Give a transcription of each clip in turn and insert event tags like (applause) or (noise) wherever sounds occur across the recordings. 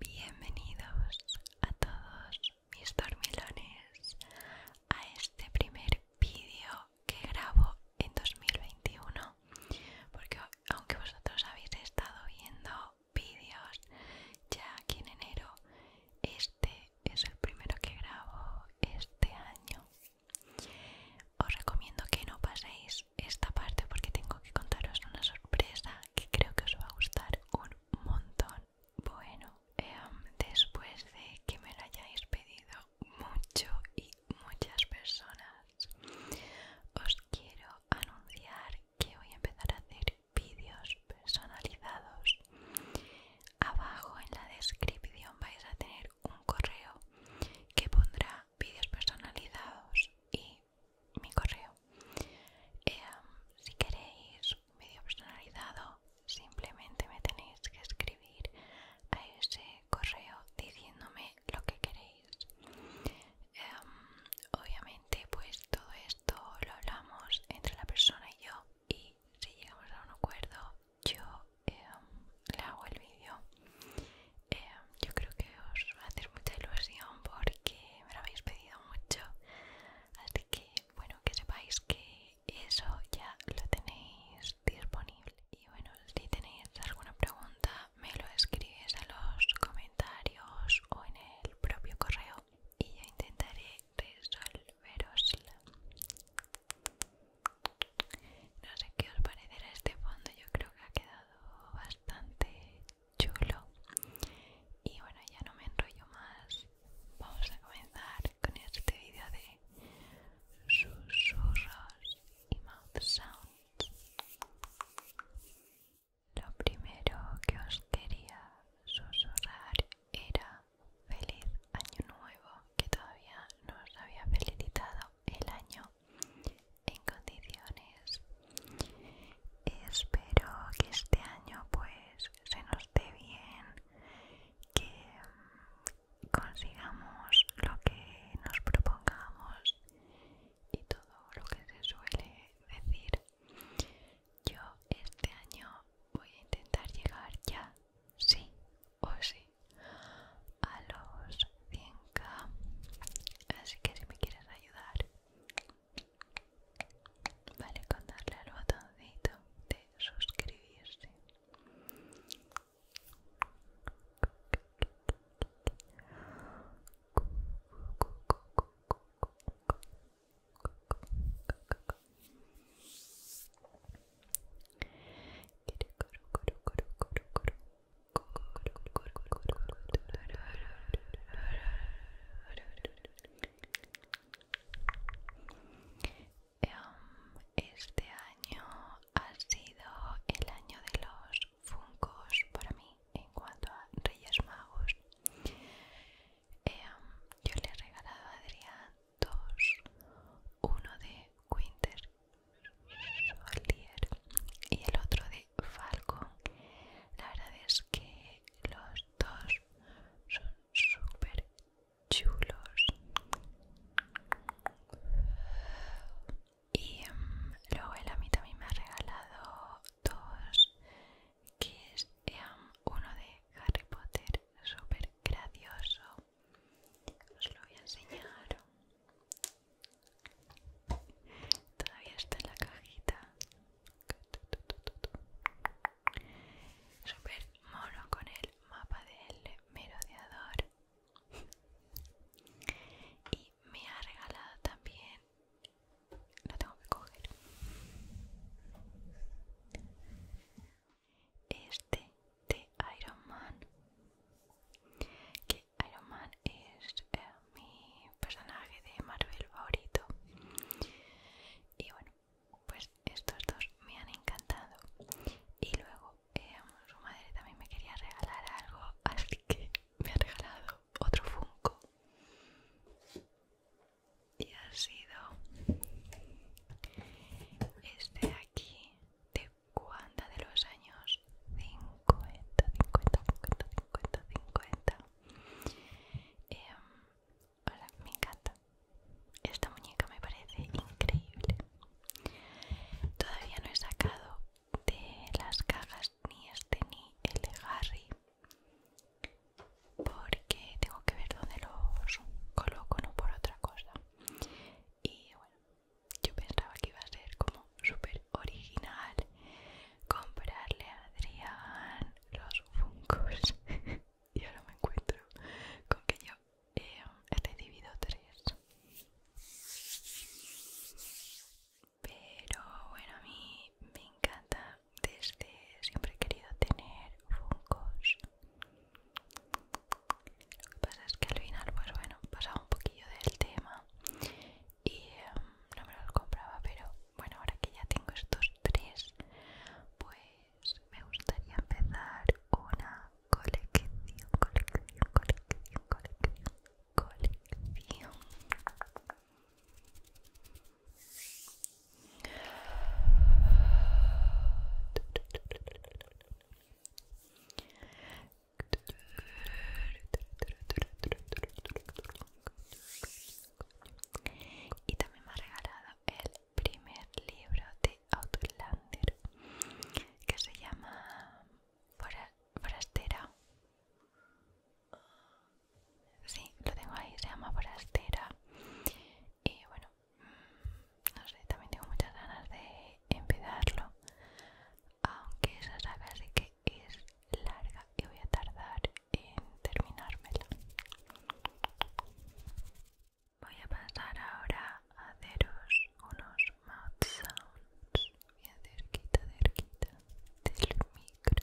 Bienvenidos a todos mis dormilones a este primer vídeo que grabo en 2021 porque aunque vosotros habéis estado viendo vídeos ya aquí en enero este es el primero que grabo este año os recomiendo que no paséis esta parte porque tengo que contaros una sorpresa que creo que os va a gustar un montón. Bueno, em, después de que me lo hayáis pedido mucho y muchas personas, os quiero anunciar que voy a empezar a hacer vídeos personalizados. Abajo en la descripción vais a tener un correo que pondrá vídeos personalizados y mi correo. Em, si queréis un vídeo personalizado, simplemente me tenéis que escribir a ese correo diciéndome lo que queréis. Em, obviamente, pues todo esto lo hablamos entre la persona y yo y si llegamos a un acuerdo, yo... Em, le hago el vídeo. Em, yo creo que os va a hacer mucha ilusión porque me lo habéis pedido mucho. Así que, bueno, que sepáis que eso ya lo tenéis disponible. Y bueno, si tenéis alguna pregunta, me lo escribís a los comentarios o en el propio correo y yo intentaré resolverosla. No sé qué os parecerá este fondo, yo creo que ha quedado bastante chulo y bueno ya no me enrollo más vamos a comenzar con este vídeo de susurros y mouth sounds lo primero que os quería susurrar era feliz año nuevo que todavía no os había felicitado el año en condiciones. Espero que este año pues se nos dé bien, que mm, consigamos lo que nos propongamos y todo lo que se suele decir. Yo este año voy a intentar llegar ya, sí o sí, a los 100k así que si me quieres ayudar vale con darle al botoncito de suscribirse este año ha sido el año de los funcos para mí en cuanto a Reyes Magos. Em, yo le he regalado a Adrián dos, uno de Quinter, y el otro de Falcon. La verdad es que los dos son super chulos. Y em, luego él a mí también me ha regalado dos, que es em, uno de Harry Potter, super gracioso. Os lo voy a enseñar. Todavía está en la cajita. Super mono con el mapa del merodeador. Y me ha regalado también... Lo tengo que coger. Este de Iron Man. Que Iron Man es eh, mi personaje de Marvel favorito. Y bueno, pues estos dos me han encantado. Y luego eh, su madre también me quería regalar algo, (laughs) así que me ha regalado otro Funko. Y ha sido este aquí de Wanda de los años 50, 50, 50, 50, 50? hola, me encanta. Esta muñeca me parece increíble. Todavía no he sacado de las cajas ni este ni el de Harry porque tengo que ver dónde los coloco, no por otra cosa. Y bueno, yo pensaba que iba a ser como súper original comprarle a Adrián los Funcos (laughs) y ahora me encuentro con que yo eh, he recibido tres. Pero bueno, a mí me encanta. Desde siempre he querido tener Funkos. Lo que pasa es que al final, pues bueno, pasaba un poquillo del tema y em, no me los compraba pero bueno ahora que ya tengo estos tres pues me gustaría empezar una colección colección colección colección colección y también me ha regalado el primer libro de Outlander que se llama Forastera. Sí, lo tengo ahí, se llama Forastera. Y bueno, mm, no sé, también tengo muchas ganas de empezarlo aunque esa saga sí que es larga y voy a tardar en terminármela voy a pasar ahora a haceros unos mouth sounds Voy bien cerquita cerquita del micro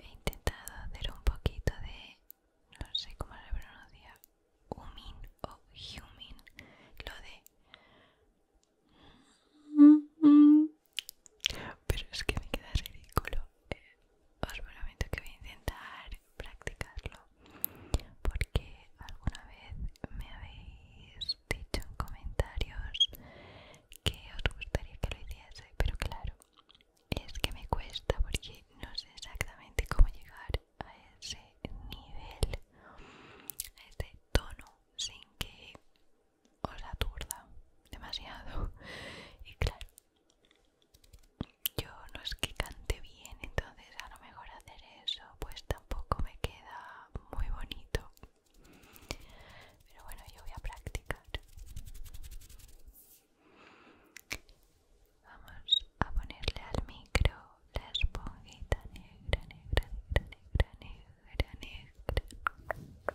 He intentado hacer un poquito de, no sé cómo se pronuncia, humin o humin, lo de... Pero es que me queda ridículo os prometo que voy a intentar practicarlo porque alguna vez me habéis dicho en comentarios que os gustaría que lo hiciese pero claro es que me cuesta porque no sé exactamente cómo llegar a ese nivel a ese tono sin que os aturda demasiado (laughs) y claro yo no es que cante bien, entonces a lo mejor hacer eso pues tampoco me queda muy bonito. Pero bueno, yo voy a practicar. Vamos a ponerle al micro la esponjita negra, negra, negra, negra, negra, negra.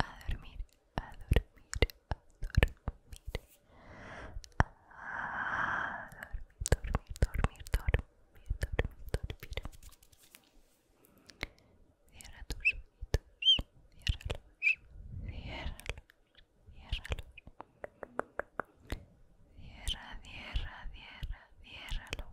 a dormir, a dormir, a dormir, a dormir, dormir, dormir, dormir, dormir, dormir. Cierra tus ojitos, cierra los ciérralos. Cierra, cierra, cierra, ciérralos.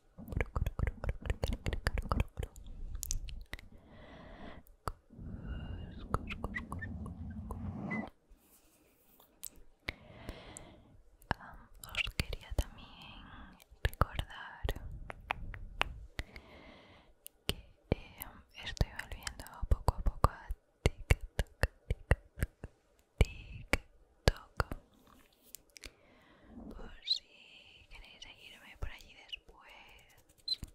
os quería también recordar que eh, estoy volviendo poco a poco a TikTok, TikTok. Por si queréis seguirme por allí después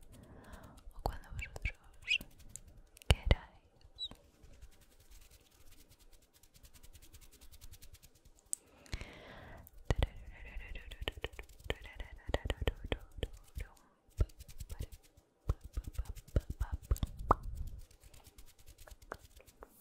o cuando vosotros queráis.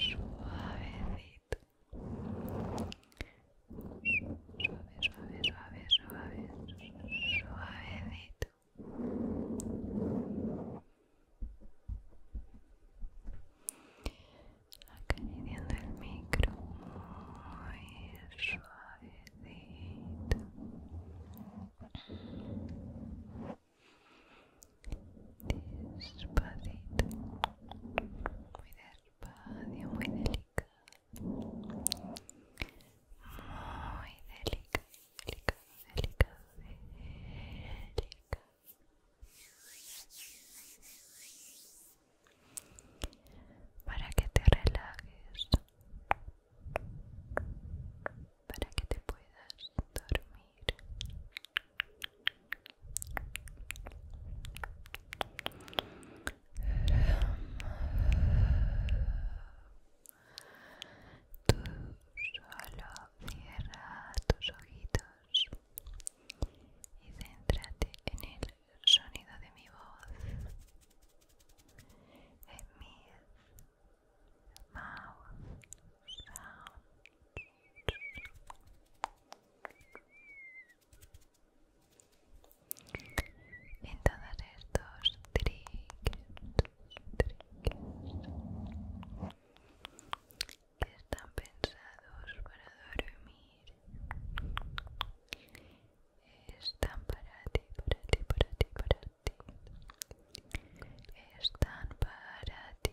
Suavecito, Suave, suave, suave, suave, suavecito. Acariciando el micro muy suavecito. Despacito, muy despacio, muy delicado. Muy delicado, delicado, delicado, delicado. Para que te relajes, para que te puedas dormir. Tú solo cierra tus ojitos y céntrate en el sonido de mi voz, en todos estos triggers, que están pensados para dormir están para ti, para ti, para ti, para ti están para ti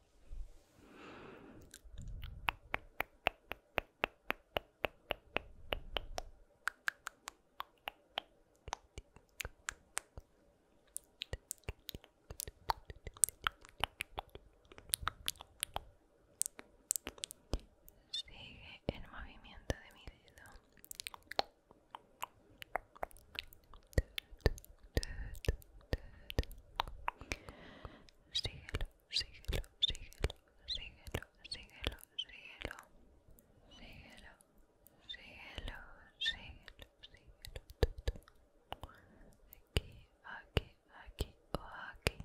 Sigue el movimiento de mi dedo síguelo, síguelo, síguelo, síguelo, síguelo, síguelo, síguelo, síguelo, síguelo, aquí, aquí, aquí o aquí,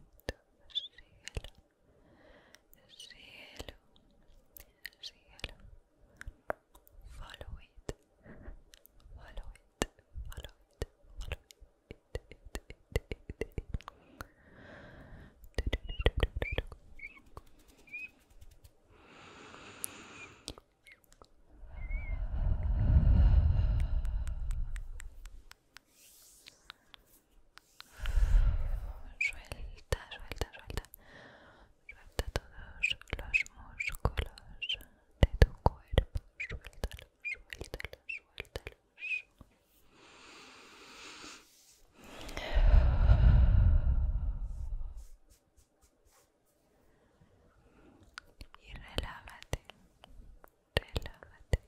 síguelo, síguelo, síguelo, follow it, follow it it, Suelta, suelta, suelta. Suelta todos los músculos de tu cuerpo. Suéltalo, suéltalo, suéltalo. Y relájate, relájate,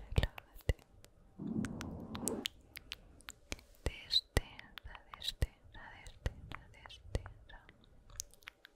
relájate. Destensa, destensa, destensa, destensa.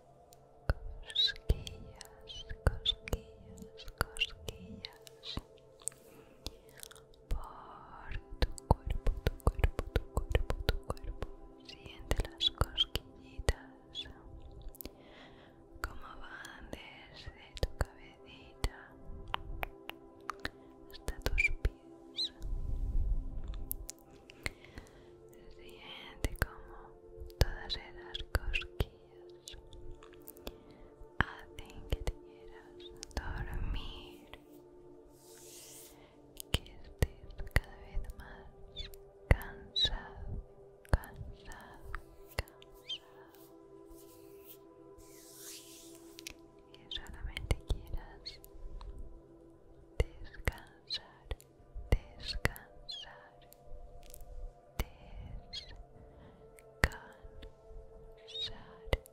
cosquillas, cosquillas, cosquillas por tu cuerpo, tu cuerpo, tu cuerpo, tu cuerpo. Siente las cosquillitas como van desde tu cabecita hasta tus pies Siente como todas esas cosquillas hacen que te quieras dormir, que estés cada vez más cansado, cansado, cansado y solamente quieras descansar descansar, descansar, descansar.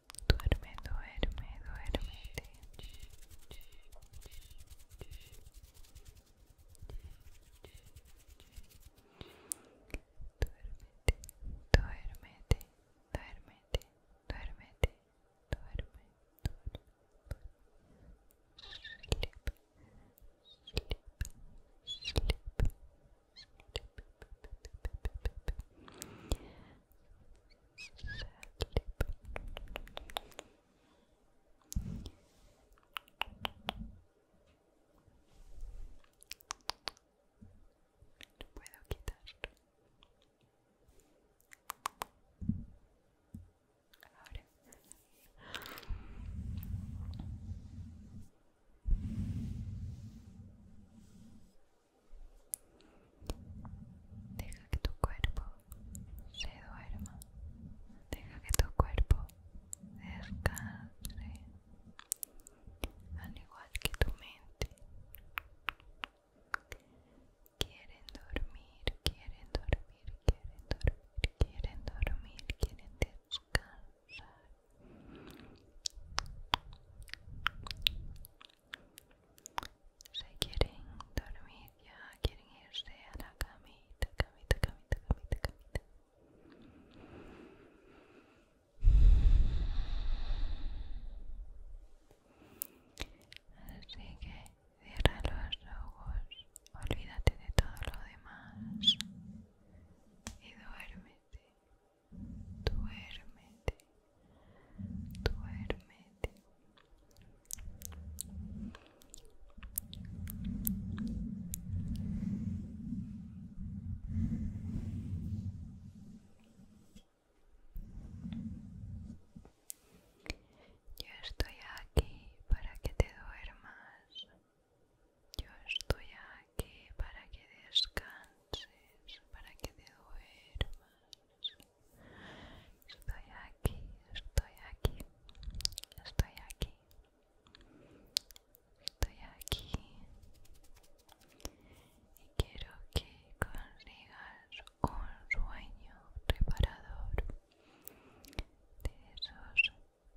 Duerme, duerme, duérmete. Duérmete, duérmete, duerme, duerme, duerme. No puedo quitarlo. Ahora. Deja que tu cuerpo se duerma. Deja que tu cuerpo descanse. Al igual que tu mente. Quieren dormir, quieren dormir, quieren dormir, quieren dormir, quieren descansar. Se quieren dormir ya, quieren irse a la camita, camita, camita, camita, camita. Así que cierra los ojos, olvídate de todo lo demás y duérmete, duérmete duérmete yo estoy aquí para que te duermas yo estoy aquí para que descanses para que te duermas Estoy aquí, estoy aquí, estoy aquí, estoy aquí. Y quiero que consigas un sueño reparador de esos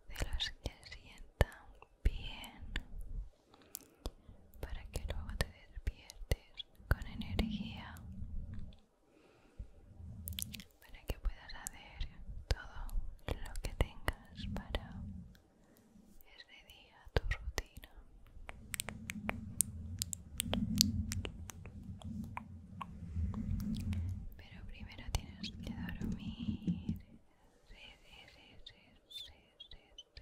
de los que sientan bien para que luego te despiertes con energía para que puedas hacer todo lo que tengas para ese día, tu rutina. Pero primero tienes que dormir. Espero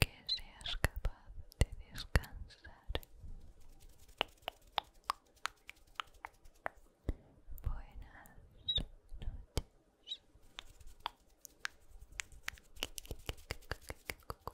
que seas capaz de descansar. Buenas noches.